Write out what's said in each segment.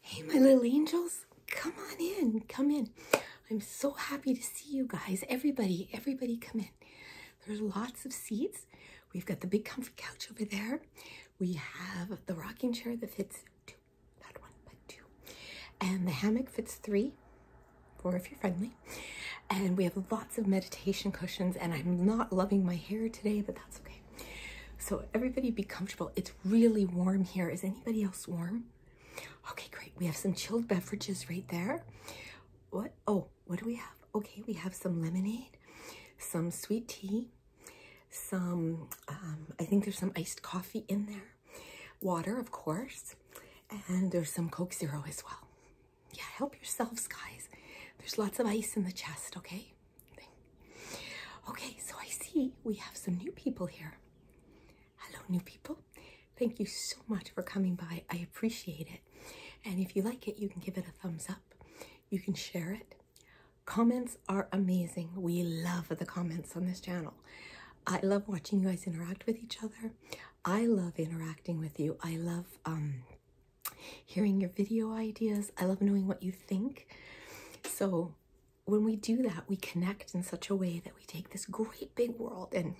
Hey, my little angels, come on in, come in. I'm so happy to see you guys. Everybody, everybody come in. There's lots of seats. We've got the big comfy couch over there. We have the rocking chair that fits two, not one, but two. And the hammock fits three, four if you're friendly. And we have lots of meditation cushions and I'm not loving my hair today, but that's okay. So everybody be comfortable. It's really warm here. Is anybody else warm? Okay, great. We have some chilled beverages right there. What? Oh, what do we have? Okay, we have some lemonade, some sweet tea, some, um, I think there's some iced coffee in there, water, of course, and there's some Coke Zero as well. Yeah, help yourselves, guys. There's lots of ice in the chest, okay? Okay, so I see we have some new people here. Hello, new people. Thank you so much for coming by. I appreciate it. And if you like it, you can give it a thumbs up. You can share it. Comments are amazing. We love the comments on this channel. I love watching you guys interact with each other. I love interacting with you. I love um, hearing your video ideas. I love knowing what you think. So when we do that, we connect in such a way that we take this great big world and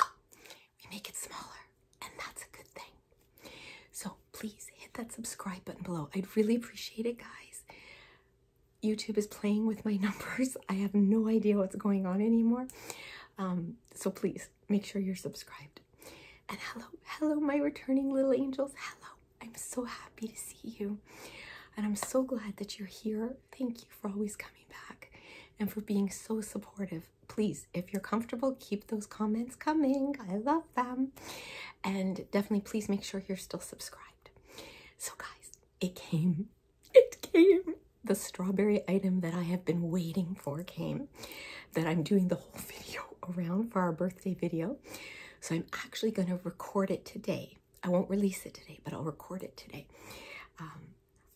we make it smaller. And that's a good thing. So please hit that subscribe button below. I'd really appreciate it, guys. YouTube is playing with my numbers. I have no idea what's going on anymore. Um, so please make sure you're subscribed. And hello, hello, my returning little angels. Hello. I'm so happy to see you. And I'm so glad that you're here. Thank you for always coming back and for being so supportive. Please, if you're comfortable, keep those comments coming. I love them. And definitely please make sure you're still subscribed. So guys, it came. It came. The strawberry item that I have been waiting for came that I'm doing the whole video around for our birthday video. So I'm actually going to record it today. I won't release it today, but I'll record it today. Um,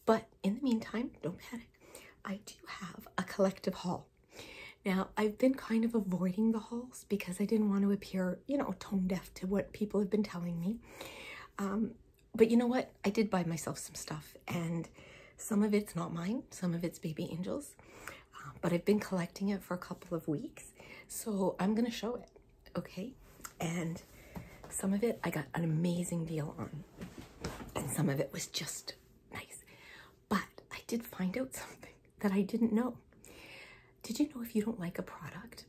but in the meantime, don't panic. I do have a collective haul. Now, I've been kind of avoiding the hauls because I didn't want to appear, you know, tone deaf to what people have been telling me. Um, but you know what? I did buy myself some stuff and some of it's not mine. Some of it's Baby Angels. Uh, but I've been collecting it for a couple of weeks, so I'm gonna show it, okay? And some of it I got an amazing deal on, and some of it was just nice. But I did find out something that I didn't know. Did you know if you don't like a product,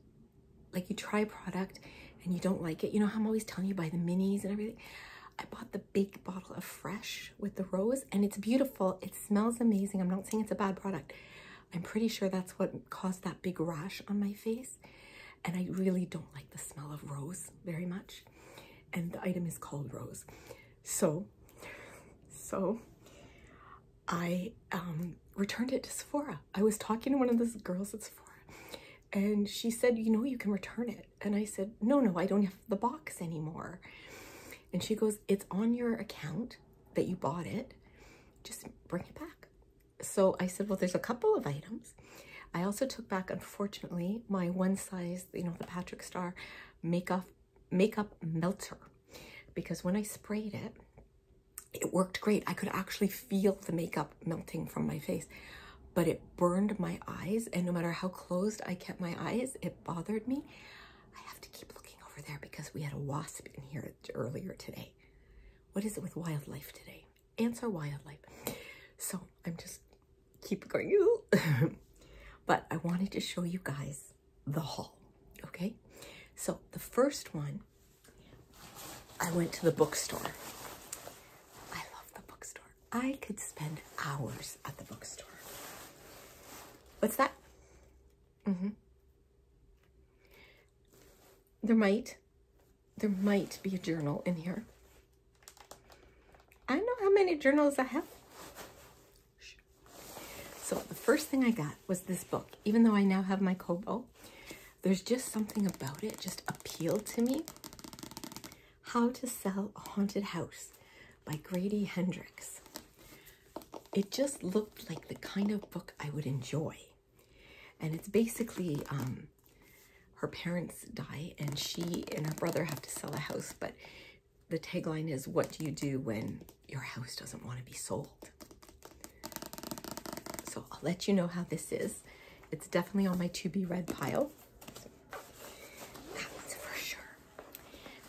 like you try a product and you don't like it, you know how I'm always telling you buy the minis and everything? I bought the big bottle of Fresh with the rose, and it's beautiful. It smells amazing. I'm not saying it's a bad product. I'm pretty sure that's what caused that big rash on my face. And I really don't like the smell of rose very much. And the item is called rose. So, so I um, returned it to Sephora. I was talking to one of the girls at Sephora and she said, you know, you can return it. And I said, no, no, I don't have." the box anymore. And she goes, It's on your account that you bought it. Just bring it back. So I said, Well, there's a couple of items. I also took back, unfortunately, my one size, you know, the Patrick Star makeup, makeup melter. Because when I sprayed it, it worked great. I could actually feel the makeup melting from my face, but it burned my eyes. And no matter how closed I kept my eyes, it bothered me. I have to keep looking over there because we had a wasp in here earlier today. What is it with wildlife today? Answer wildlife. So I'm just keep going. but I wanted to show you guys the haul, okay? So the first one, I went to the bookstore. I love the bookstore. I could spend hours at the bookstore. What's that? Mm-hmm. There might, there might be a journal in here. I know how many journals I have. So the first thing I got was this book. Even though I now have my Kobo, there's just something about it just appealed to me. How to Sell a Haunted House by Grady Hendrix. It just looked like the kind of book I would enjoy. And it's basically um, her parents die and she and her brother have to sell a house, but the tagline is, what do you do when your house doesn't want to be sold? So I'll let you know how this is. It's definitely on my to be read pile. That's for sure.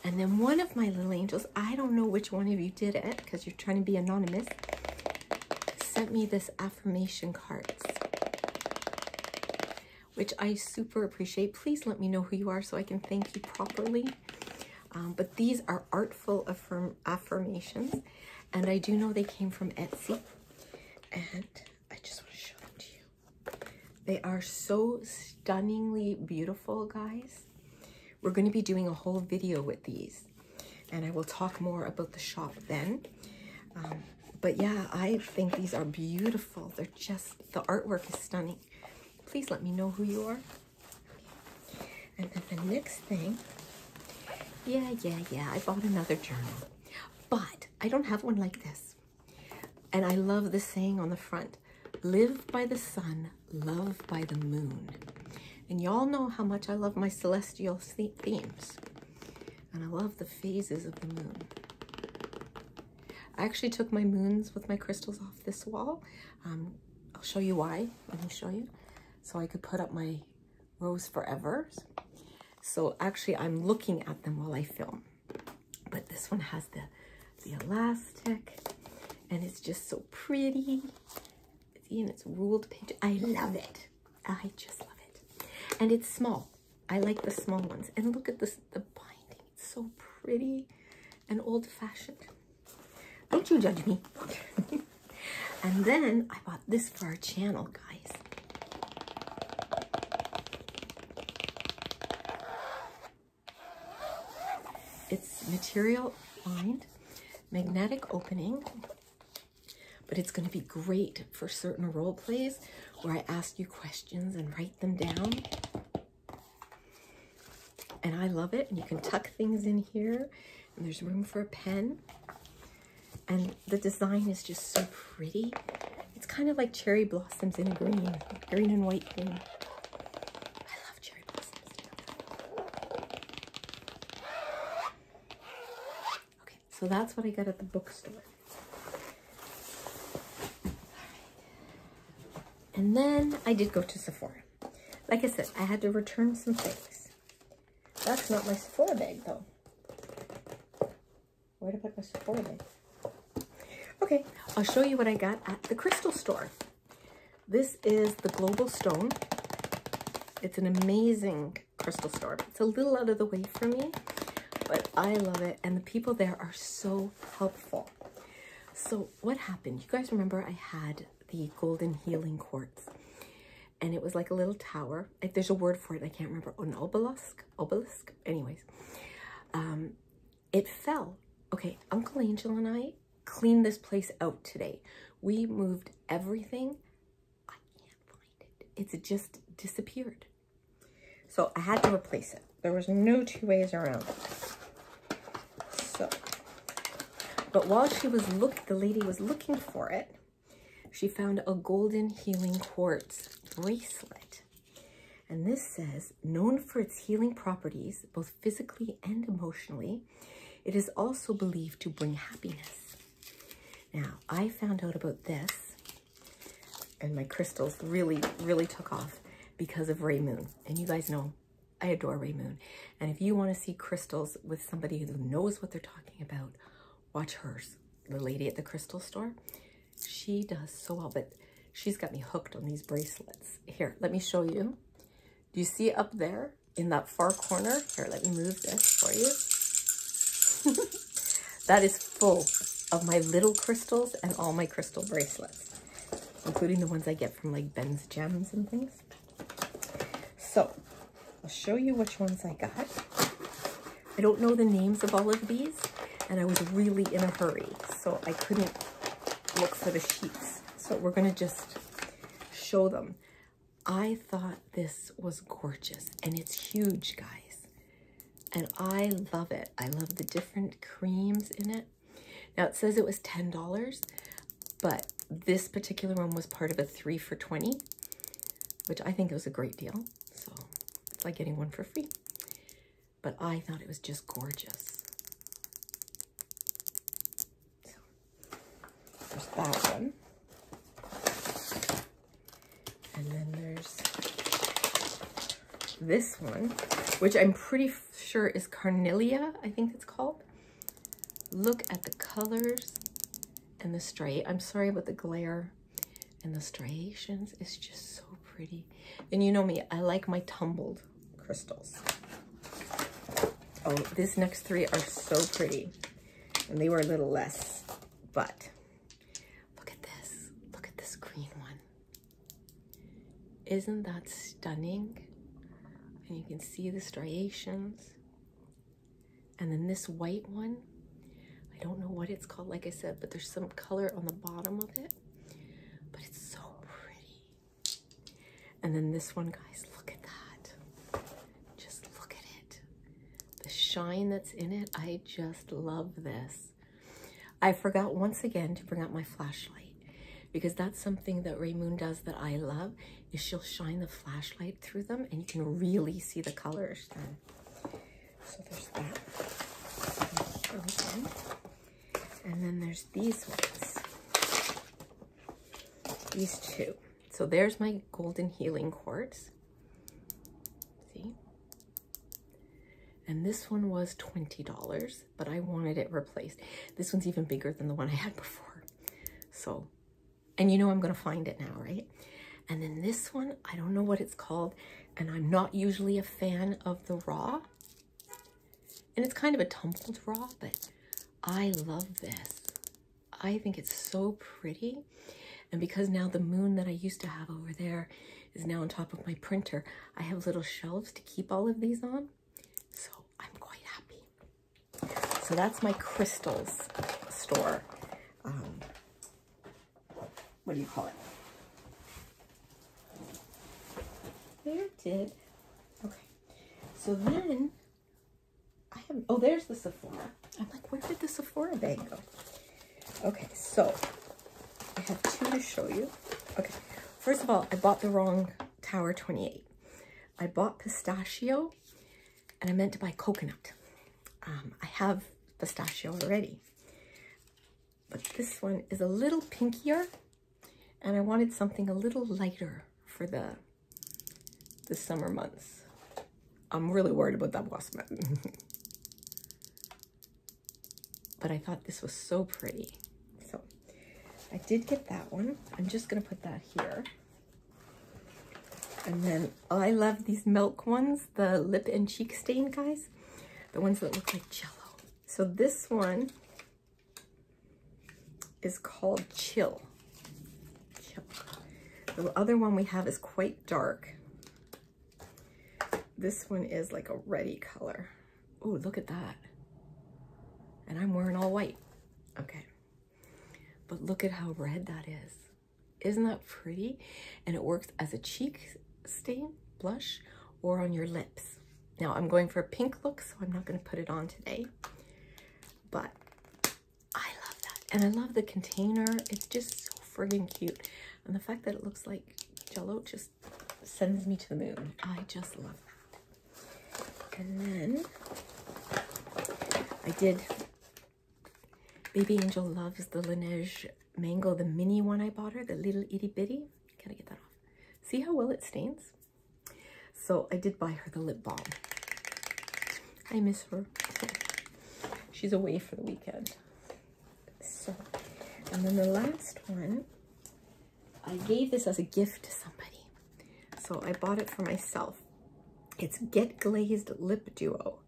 And then one of my little angels, I don't know which one of you did it because you're trying to be anonymous, sent me this affirmation cards, which I super appreciate. Please let me know who you are so I can thank you properly. Um, but these are artful affirmations, and I do know they came from Etsy. And I just want to show them to you. They are so stunningly beautiful, guys. We're going to be doing a whole video with these, and I will talk more about the shop then. Um, but yeah, I think these are beautiful. They're just, the artwork is stunning. Please let me know who you are. And then the next thing, yeah, yeah, yeah, I bought another journal. But I don't have one like this. And I love the saying on the front live by the sun, love by the moon. And y'all know how much I love my celestial themes. And I love the phases of the moon. I actually took my moons with my crystals off this wall. Um, I'll show you why. Let me show you. So I could put up my Rose forever. So actually I'm looking at them while I film. But this one has the, the elastic and it's just so pretty. See, and it's ruled page. I love it. I just love it. And it's small. I like the small ones. And look at this, the binding. It's so pretty and old fashioned. Don't you judge me. and then I bought this for our channel, guys. It's material lined, magnetic opening, but it's going to be great for certain role plays where I ask you questions and write them down. And I love it. And you can tuck things in here and there's room for a pen. And the design is just so pretty it's kind of like cherry blossoms in a green, green and white thing. I love cherry blossoms Okay, so that's what I got at the bookstore. And then I did go to Sephora. Like I said, I had to return some things. That's not my Sephora bag though where to put my subordinates. Okay, I'll show you what I got at the crystal store. This is the Global Stone. It's an amazing crystal store. It's a little out of the way for me, but I love it. And the people there are so helpful. So what happened? You guys remember I had the golden healing quartz and it was like a little tower. Like there's a word for it. I can't remember. An obelisk, anyways. Um, it fell. Okay, Uncle Angel and I cleaned this place out today. We moved everything. I can't find it. It's just disappeared. So I had to replace it. There was no two ways around So, but while she was look, the lady was looking for it, she found a golden healing quartz bracelet. And this says, known for its healing properties, both physically and emotionally, it is also believed to bring happiness. Now, I found out about this, and my crystals really, really took off because of Ray Moon. And you guys know I adore Ray Moon. And if you want to see crystals with somebody who knows what they're talking about, Watch hers. The lady at the crystal store. She does so well, but she's got me hooked on these bracelets. Here, let me show you. Do you see up there in that far corner? Here, let me move this for you. that is full of my little crystals and all my crystal bracelets, including the ones I get from like Ben's Gems and things. So I'll show you which ones I got. I don't know the names of all of these, and I was really in a hurry, so I couldn't look for the sheets. So we're going to just show them. I thought this was gorgeous, and it's huge, guys. And I love it. I love the different creams in it. Now, it says it was $10, but this particular one was part of a 3 for 20 which I think was a great deal so it's like getting one for free. But I thought it was just gorgeous. So, there's that one. And then there's this one, which I'm pretty sure is Carnelia, I think it's called. Look at the colors and the straight. I'm sorry about the glare and the striations is just so pretty. And you know me, I like my tumbled crystals. Oh, these next three are so pretty. And they were a little less, but look at this. Look at this green one. Isn't that stunning? And you can see the striations. And then this white one, I don't know what it's called, like I said, but there's some color on the bottom of it. But it's so pretty. And then this one, guys, look at that. Just look at it. The shine that's in it, I just love this. I forgot once again to bring out my flashlight because that's something that Ray Moon does that I love is she'll shine the flashlight through them and you can really see the colors then. So there's that. And then there's these ones. These two. So there's my golden healing quartz. See? And this one was $20, but I wanted it replaced. This one's even bigger than the one I had before. So and you know I'm going to find it now, right? And then this one, I don't know what it's called. And I'm not usually a fan of the raw. And it's kind of a tumbled raw, but I love this. I think it's so pretty. And because now the moon that I used to have over there is now on top of my printer, I have little shelves to keep all of these on. So I'm quite happy. So that's my crystals store um, what do you call it? There it did. Okay. So then I have, oh, there's the Sephora. I'm like, where did the Sephora bag go? Okay, so I have two to show you. Okay, first of all, I bought the wrong Tower 28. I bought pistachio and I meant to buy coconut. Um, I have pistachio already, but this one is a little pinkier and I wanted something a little lighter for the, the summer months. I'm really worried about that wasp but I thought this was so pretty. So I did get that one. I'm just gonna put that here and then I love these milk ones, the lip and cheek stain guys, the ones that look like jello. So this one is called Chill. The other one we have is quite dark. This one is like a reddy color. Oh, look at that. And I'm wearing all white. Okay. But look at how red that is. Isn't that pretty? And it works as a cheek stain, blush, or on your lips. Now I'm going for a pink look, so I'm not gonna put it on today, but I love that. And I love the container. It's just so friggin' cute. And the fact that it looks like jello just sends me to the moon. I just love that. And then I did Baby Angel loves the Laneige mango, the mini one I bought her, the little itty bitty. Can I get that off? See how well it stains? So I did buy her the lip balm. I miss her. She's away for the weekend. So, and then the last one, I gave this as a gift to somebody. So I bought it for myself it's Get Glazed Lip Duo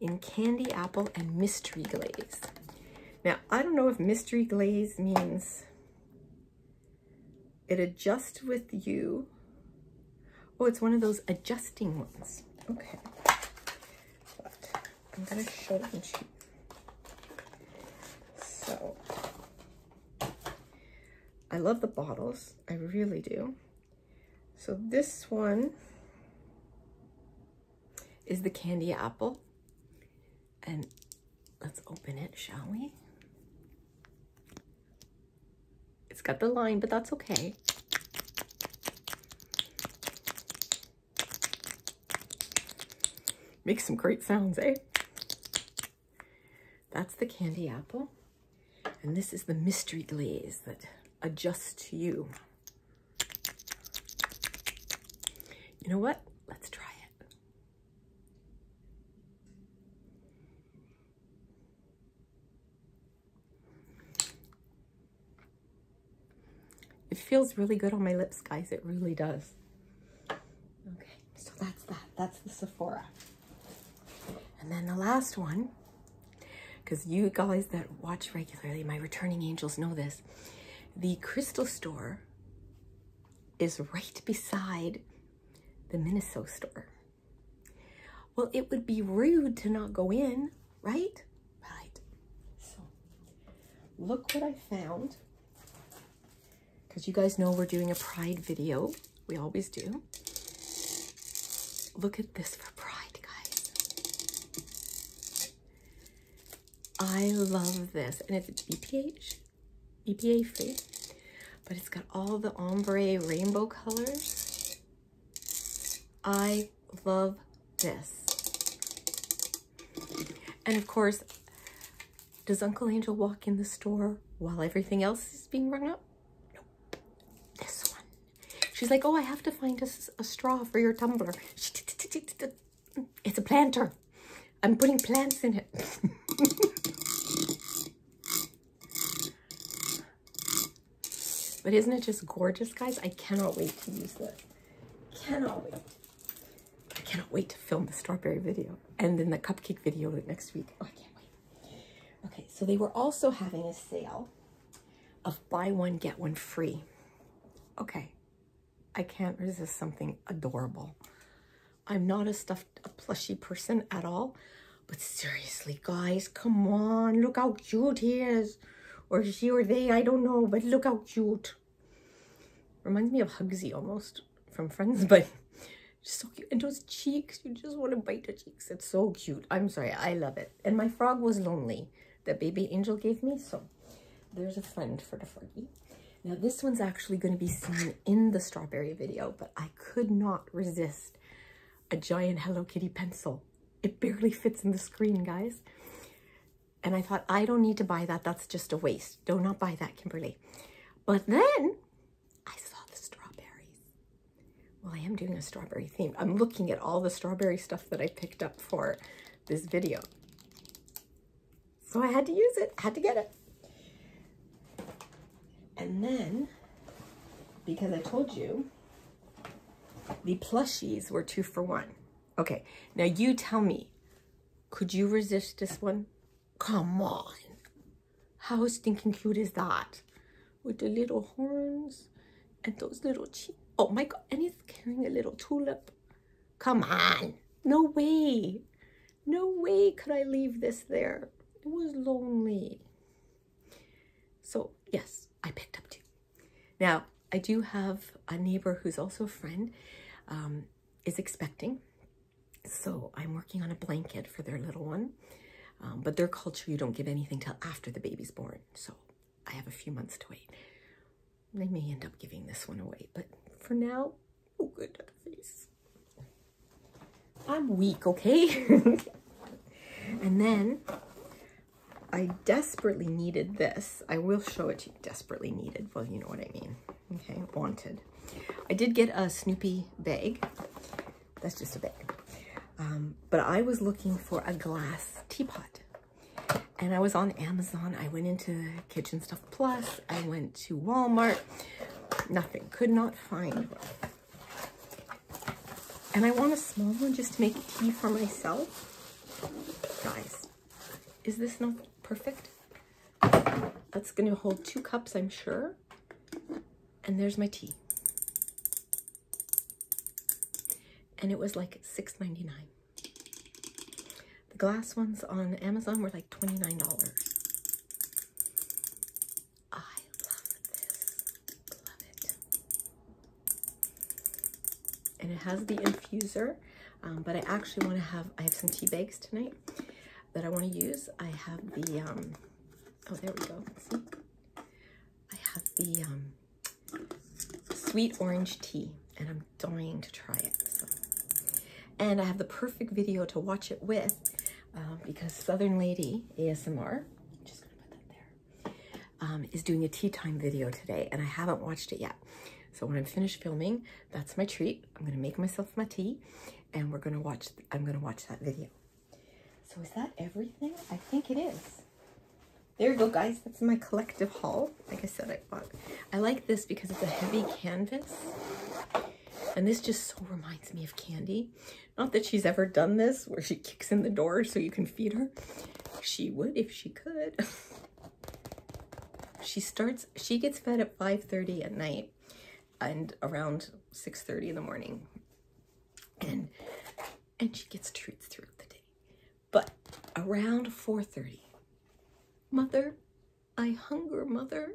in Candy Apple and Mystery Glaze. Now, I don't know if Mystery Glaze means it adjusts with you. Oh, it's one of those adjusting ones. Okay. I'm going to show you. So, I love the bottles. I really do. So this one is the candy apple. And let's open it, shall we? It's got the line, but that's okay. Makes some great sounds, eh? That's the candy apple. And this is the mystery glaze that adjusts to you. You know what? Let's try it. It feels really good on my lips, guys. It really does. Okay, so that's that. That's the Sephora. And then the last one, because you guys that watch regularly, my returning angels know this, the crystal store is right beside the Minnesota store. Well, it would be rude to not go in, right? Right. So, look what I found. Because you guys know we're doing a pride video. We always do. Look at this for pride, guys. I love this. And it's BPH, BPA free, but it's got all the ombre rainbow colors. I love this. And of course, does Uncle Angel walk in the store while everything else is being rung up? Nope. This one. She's like, oh, I have to find a, a straw for your tumbler. It's a planter. I'm putting plants in it. but isn't it just gorgeous, guys? I cannot wait to use this. Cannot wait. I cannot wait to film the strawberry video and then the cupcake video next week. Oh, I can't wait. Okay, so they were also having a sale of buy one, get one free. Okay, I can't resist something adorable. I'm not a stuffed, a plushy person at all, but seriously, guys, come on, look how cute he is. Or she or they, I don't know, but look how cute. Reminds me of Hugsy almost from Friends, but so cute. And those cheeks, you just want to bite the cheeks. It's so cute. I'm sorry, I love it. And my frog was lonely that baby angel gave me. So there's a friend for the froggy. Now this one's actually going to be seen in the strawberry video, but I could not resist a giant Hello Kitty pencil. It barely fits in the screen, guys. And I thought, I don't need to buy that. That's just a waste. Do not buy that, Kimberly. But then I saw the strawberries. Well, I am doing a strawberry theme. I'm looking at all the strawberry stuff that I picked up for this video. So I had to use it, I had to get it. And then, because I told you, the plushies were two for one. Okay, now you tell me, could you resist this one? Come on. How stinking cute is that? With the little horns and those little cheeks. Oh my god, and he's carrying a little tulip. Come on. No way. No way could I leave this there. It was lonely. So yes, I picked up two. Now, I do have a neighbor who's also a friend, um, is expecting. So I'm working on a blanket for their little one. Um, but their culture, you don't give anything till after the baby's born. So I have a few months to wait. I may end up giving this one away, but for now, oh good, face. I'm weak, okay? and then I desperately needed this. I will show it to you. Desperately needed. Well, you know what I mean. Okay, wanted. I did get a Snoopy bag. That's just a bag. Um, but I was looking for a glass teapot. And I was on Amazon. I went into Kitchen Stuff Plus. I went to Walmart. Nothing. Could not find And I want a small one just to make tea for myself. Guys, is this not perfect? That's going to hold two cups, I'm sure. And there's my tea. And it was like $6.99. The glass ones on Amazon were like $29. and it has the infuser um, but I actually want to have I have some tea bags tonight that I want to use. I have the, um, oh, there we go. I have the um, sweet orange tea, and I'm dying to try it. And I have the perfect video to watch it with um, because Southern Lady ASMR, is doing a tea time video today, and I haven't watched it yet. So when I'm finished filming, that's my treat. I'm going to make myself my tea and we're gonna watch I'm gonna watch that video. So is that everything? I think it is. There you go guys, that's my collective haul. Like I said, I bought I like this because it's a heavy canvas. And this just so reminds me of Candy. Not that she's ever done this where she kicks in the door so you can feed her. She would if she could. she starts she gets fed at 5:30 at night and around 6.30 in the morning. And, and she gets treats throughout the day. But around 4.30, mother, I hunger, mother.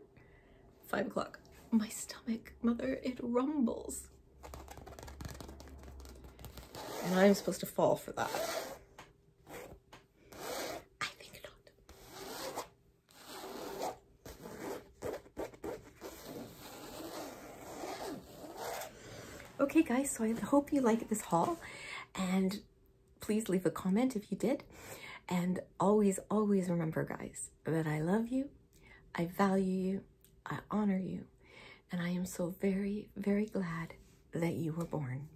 Five o'clock, my stomach, mother, it rumbles. And I'm supposed to fall for that. Okay guys, so I hope you liked this haul and please leave a comment if you did. And always, always remember guys, that I love you, I value you, I honor you, and I am so very, very glad that you were born.